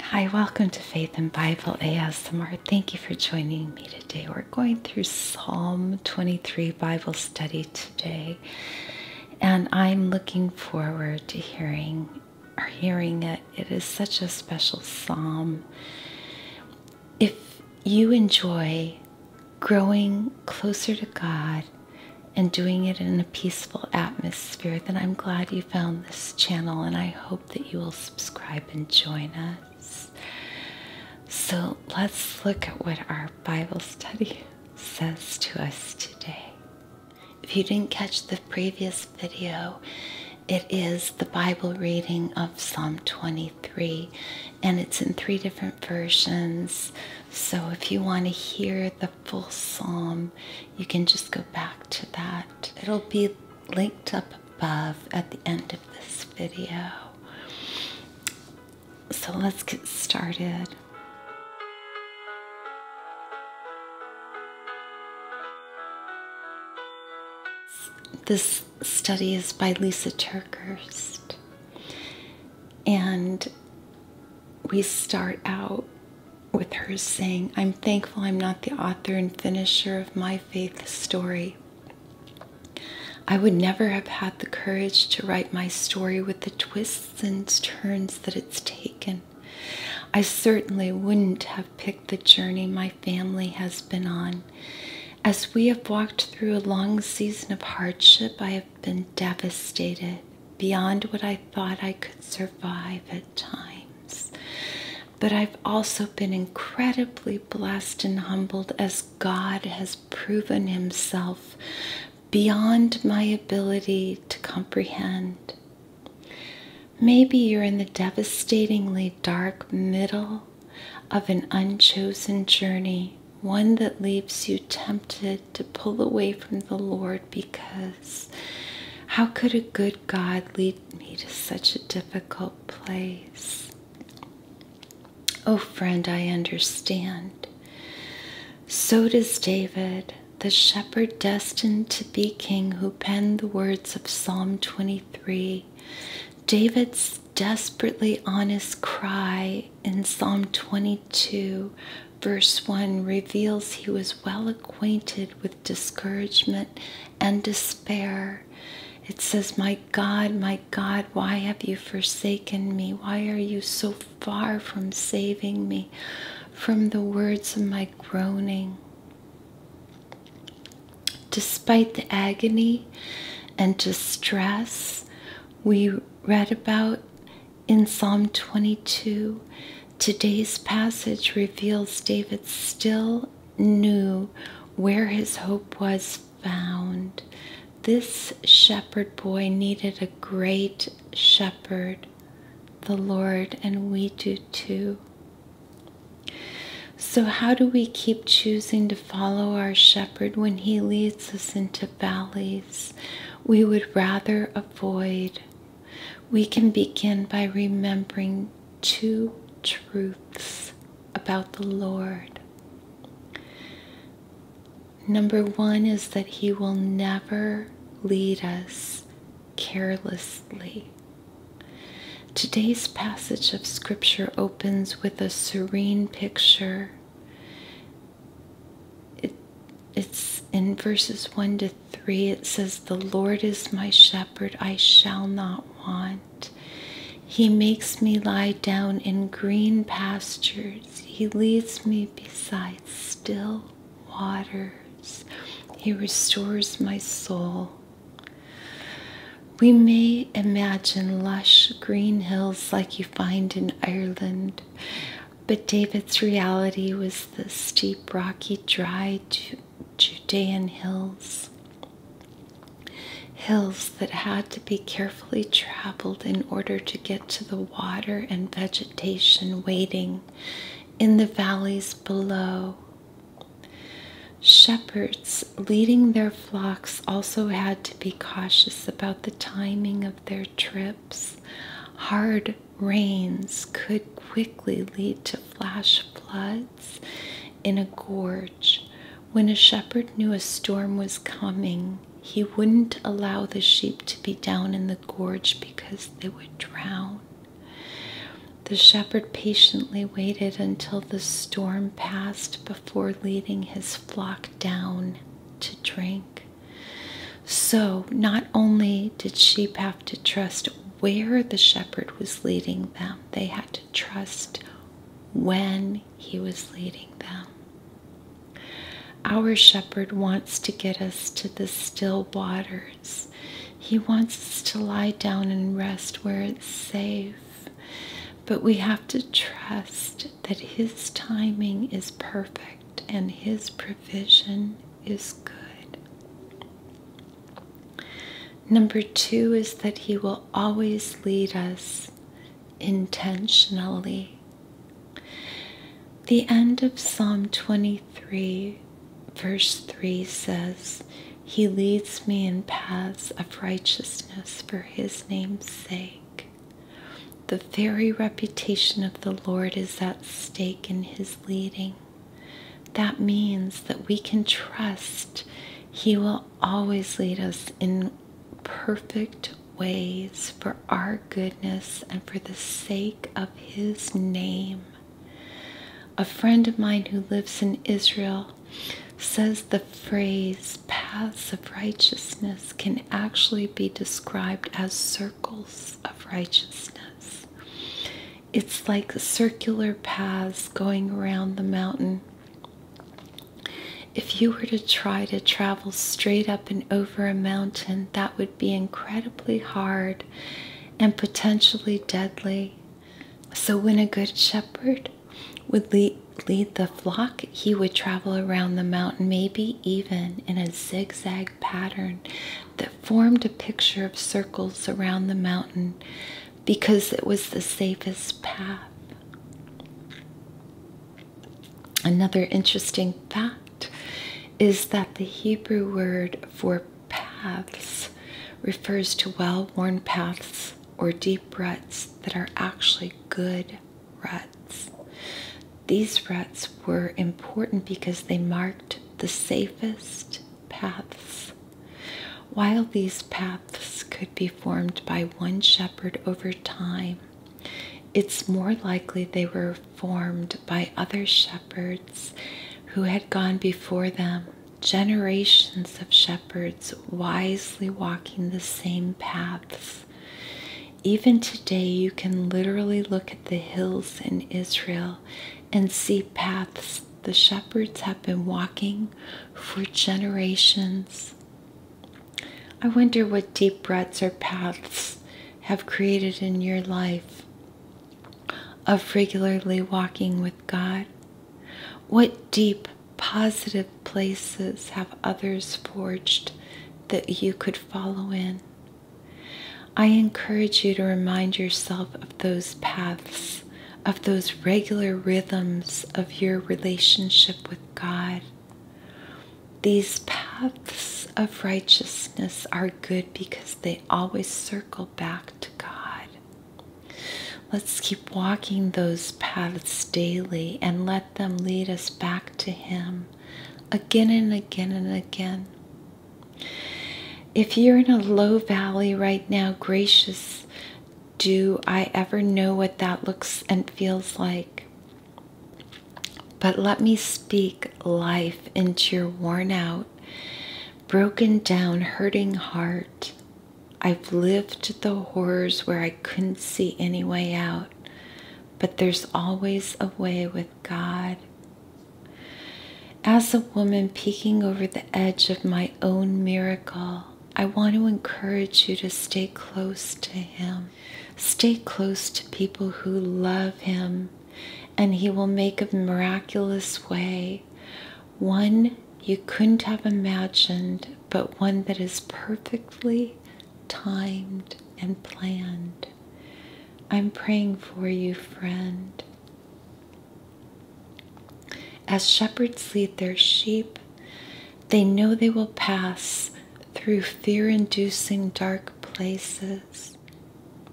Hi, welcome to Faith in Bible ASMR. Thank you for joining me today. We're going through Psalm 23 Bible study today, and I'm looking forward to hearing or hearing it. It is such a special psalm. If you enjoy growing closer to God and doing it in a peaceful atmosphere, then I'm glad you found this channel, and I hope that you will subscribe and join us. So let's look at what our Bible study says to us today. If you didn't catch the previous video, it is the Bible reading of Psalm 23, and it's in three different versions. So if you want to hear the full psalm, you can just go back to that. It'll be linked up above at the end of this video. So let's get started. This study is by Lisa Turkurst, And we start out with her saying, I'm thankful I'm not the author and finisher of my faith story. I would never have had the courage to write my story with the twists and turns that it's taken. I certainly wouldn't have picked the journey my family has been on. As we have walked through a long season of hardship, I have been devastated beyond what I thought I could survive at times. But I've also been incredibly blessed and humbled as God has proven Himself beyond my ability to comprehend. Maybe you're in the devastatingly dark middle of an unchosen journey, one that leaves you tempted to pull away from the Lord because how could a good God lead me to such a difficult place? Oh, friend, I understand. So does David, the shepherd destined to be king who penned the words of Psalm 23. David's desperately honest cry in Psalm 22 Verse 1 reveals he was well acquainted with discouragement and despair. It says, My God, my God, why have you forsaken me? Why are you so far from saving me from the words of my groaning? Despite the agony and distress we read about in Psalm 22, today's passage reveals David still knew where his hope was found. This shepherd boy needed a great shepherd, the Lord, and we do too. So, how do we keep choosing to follow our shepherd when he leads us into valleys we would rather avoid? we can begin by remembering two truths about the Lord. Number one is that He will never lead us carelessly. Today's passage of Scripture opens with a serene picture it's in verses 1 to 3 it says the lord is my shepherd i shall not want he makes me lie down in green pastures he leads me beside still waters he restores my soul we may imagine lush green hills like you find in Ireland, but David's reality was the steep, rocky, dry Judean hills. Hills that had to be carefully traveled in order to get to the water and vegetation waiting in the valleys below. Shepherds leading their flocks also had to be cautious about the timing of their trips. Hard rains could quickly lead to flash floods in a gorge. When a shepherd knew a storm was coming, he wouldn't allow the sheep to be down in the gorge because they would drown. The shepherd patiently waited until the storm passed before leading his flock down to drink. So not only did sheep have to trust where the shepherd was leading them, they had to trust when he was leading them. Our shepherd wants to get us to the still waters. He wants us to lie down and rest where it's safe. But we have to trust that His timing is perfect and his provision is good. Number two is that he will always lead us intentionally. The end of Psalm 23, verse 3 says, He leads me in paths of righteousness for his name's sake. The very reputation of the Lord is at stake in His leading. That means that we can trust He will always lead us in perfect ways for our goodness and for the sake of His name. A friend of mine who lives in Israel says the phrase paths of righteousness can actually be described as circles of righteousness. It's like circular paths going around the mountain. If you were to try to travel straight up and over a mountain, that would be incredibly hard and potentially deadly. So, when a good shepherd would lead the flock, he would travel around the mountain, maybe even in a zigzag pattern that formed a picture of circles around the mountain because it was the safest path. Another interesting fact is that the Hebrew word for paths refers to well worn paths or deep ruts that are actually good ruts. These ruts were important because they marked the safest paths. While these paths could be formed by one shepherd over time, it's more likely they were formed by other shepherds who had gone before them, generations of shepherds wisely walking the same paths even today, you can literally look at the hills in Israel and see paths the shepherds have been walking for generations. I wonder what deep ruts or paths have created in your life of regularly walking with God. What deep, positive, places have others forged that you could follow in. I encourage you to remind yourself of those paths, of those regular rhythms of your relationship with God. These paths of righteousness are good because they always circle back to God. Let's keep walking those paths daily and let them lead us back to Him again and again and again. If you're in a low valley right now, gracious, do I ever know what that looks and feels like? But let me speak life into your worn out, broken down, hurting heart. I've lived the horrors where I couldn't see any way out but there's always a way with God. As a woman peeking over the edge of my own miracle, I want to encourage you to stay close to Him. Stay close to people who love Him, and He will make a miraculous way. One you couldn't have imagined, but one that is perfectly timed and planned. I'm praying for you, friend. As shepherds lead their sheep, they know they will pass through fear inducing dark places.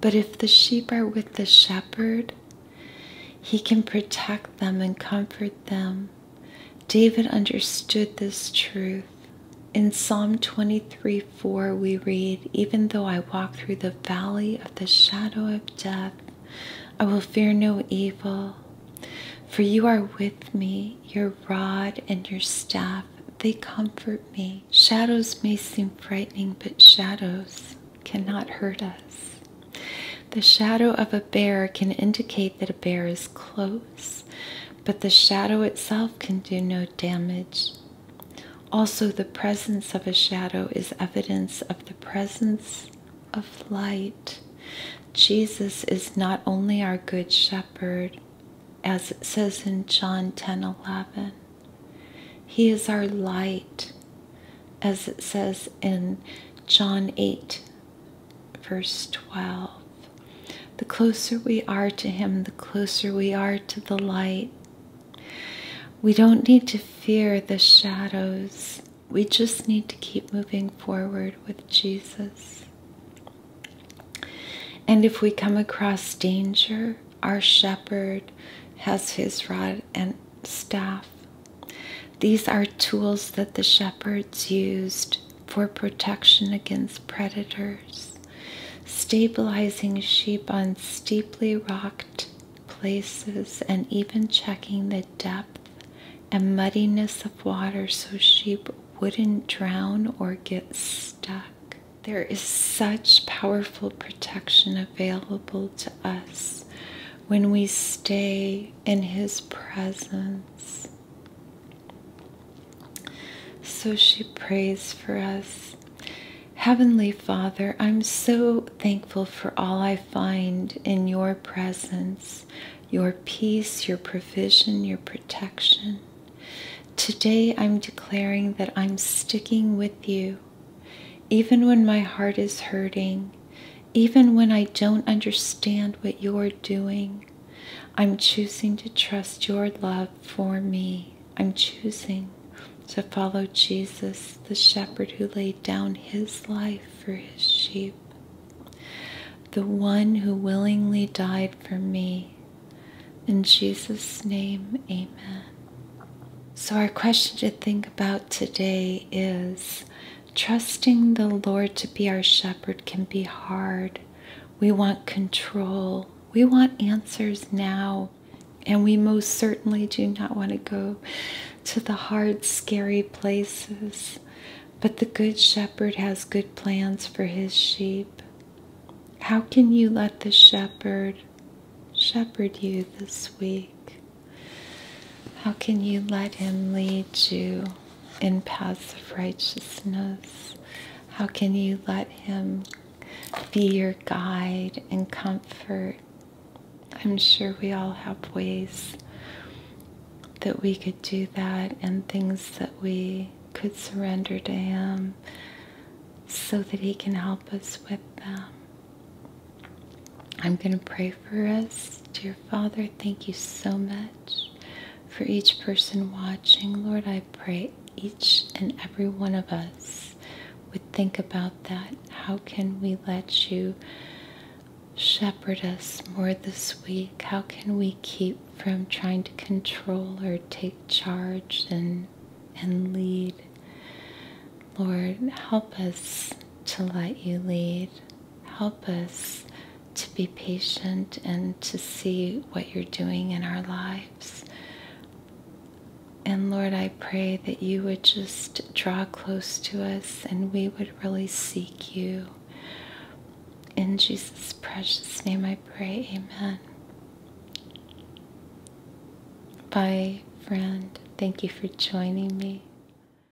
But if the sheep are with the shepherd, he can protect them and comfort them David understood this truth. In Psalm 23 4, we read, Even though I walk through the valley of the shadow of death, I will fear no evil. For you are with me, your rod and your staff, they comfort me. Shadows may seem frightening, but shadows cannot hurt us. The shadow of a bear can indicate that a bear is close, but the shadow itself can do no damage. Also, the presence of a shadow is evidence of the presence of light. Jesus is not only our good shepherd, as it says in John 10 11, he is our light, as it says in John 8 verse 12. The closer we are to Him, the closer we are to the light. We don't need to fear the shadows. We just need to keep moving forward with Jesus. And if we come across danger, our shepherd has his rod and staff. These are tools that the shepherds used for protection against predators, stabilizing sheep on steeply rocked places, and even checking the depth and muddiness of water so sheep wouldn't drown or get stuck. There is such powerful protection available to us when we stay in His presence. So she prays for us. Heavenly Father, I'm so thankful for all I find in your presence, your peace, your provision, your protection. Today I'm declaring that I'm sticking with you, even when my heart is hurting, even when I don't understand what you're doing, I'm choosing to trust your love for me. I'm choosing to follow Jesus, the shepherd who laid down his life for his sheep, the one who willingly died for me. In Jesus' name, amen. So, our question to think about today is Trusting the Lord to be our shepherd can be hard. We want control. We want answers now. And we most certainly do not want to go to the hard, scary places. But the Good Shepherd has good plans for his sheep. How can you let the shepherd shepherd you this week? How can you let him lead you? in paths of righteousness? How can you let Him be your guide and comfort? I'm sure we all have ways that we could do that and things that we could surrender to Him so that He can help us with them. I'm going to pray for us, dear Father, thank you so much for each person watching. Lord, I pray each and every one of us would think about that. How can we let you shepherd us more this week? How can we keep from trying to control or take charge and, and lead? Lord, help us to let you lead help us to be patient and to see what you're doing in our lives. And Lord, I pray that you would just draw close to us and we would really seek you. In Jesus' precious name I pray, amen. Bye, friend. Thank you for joining me.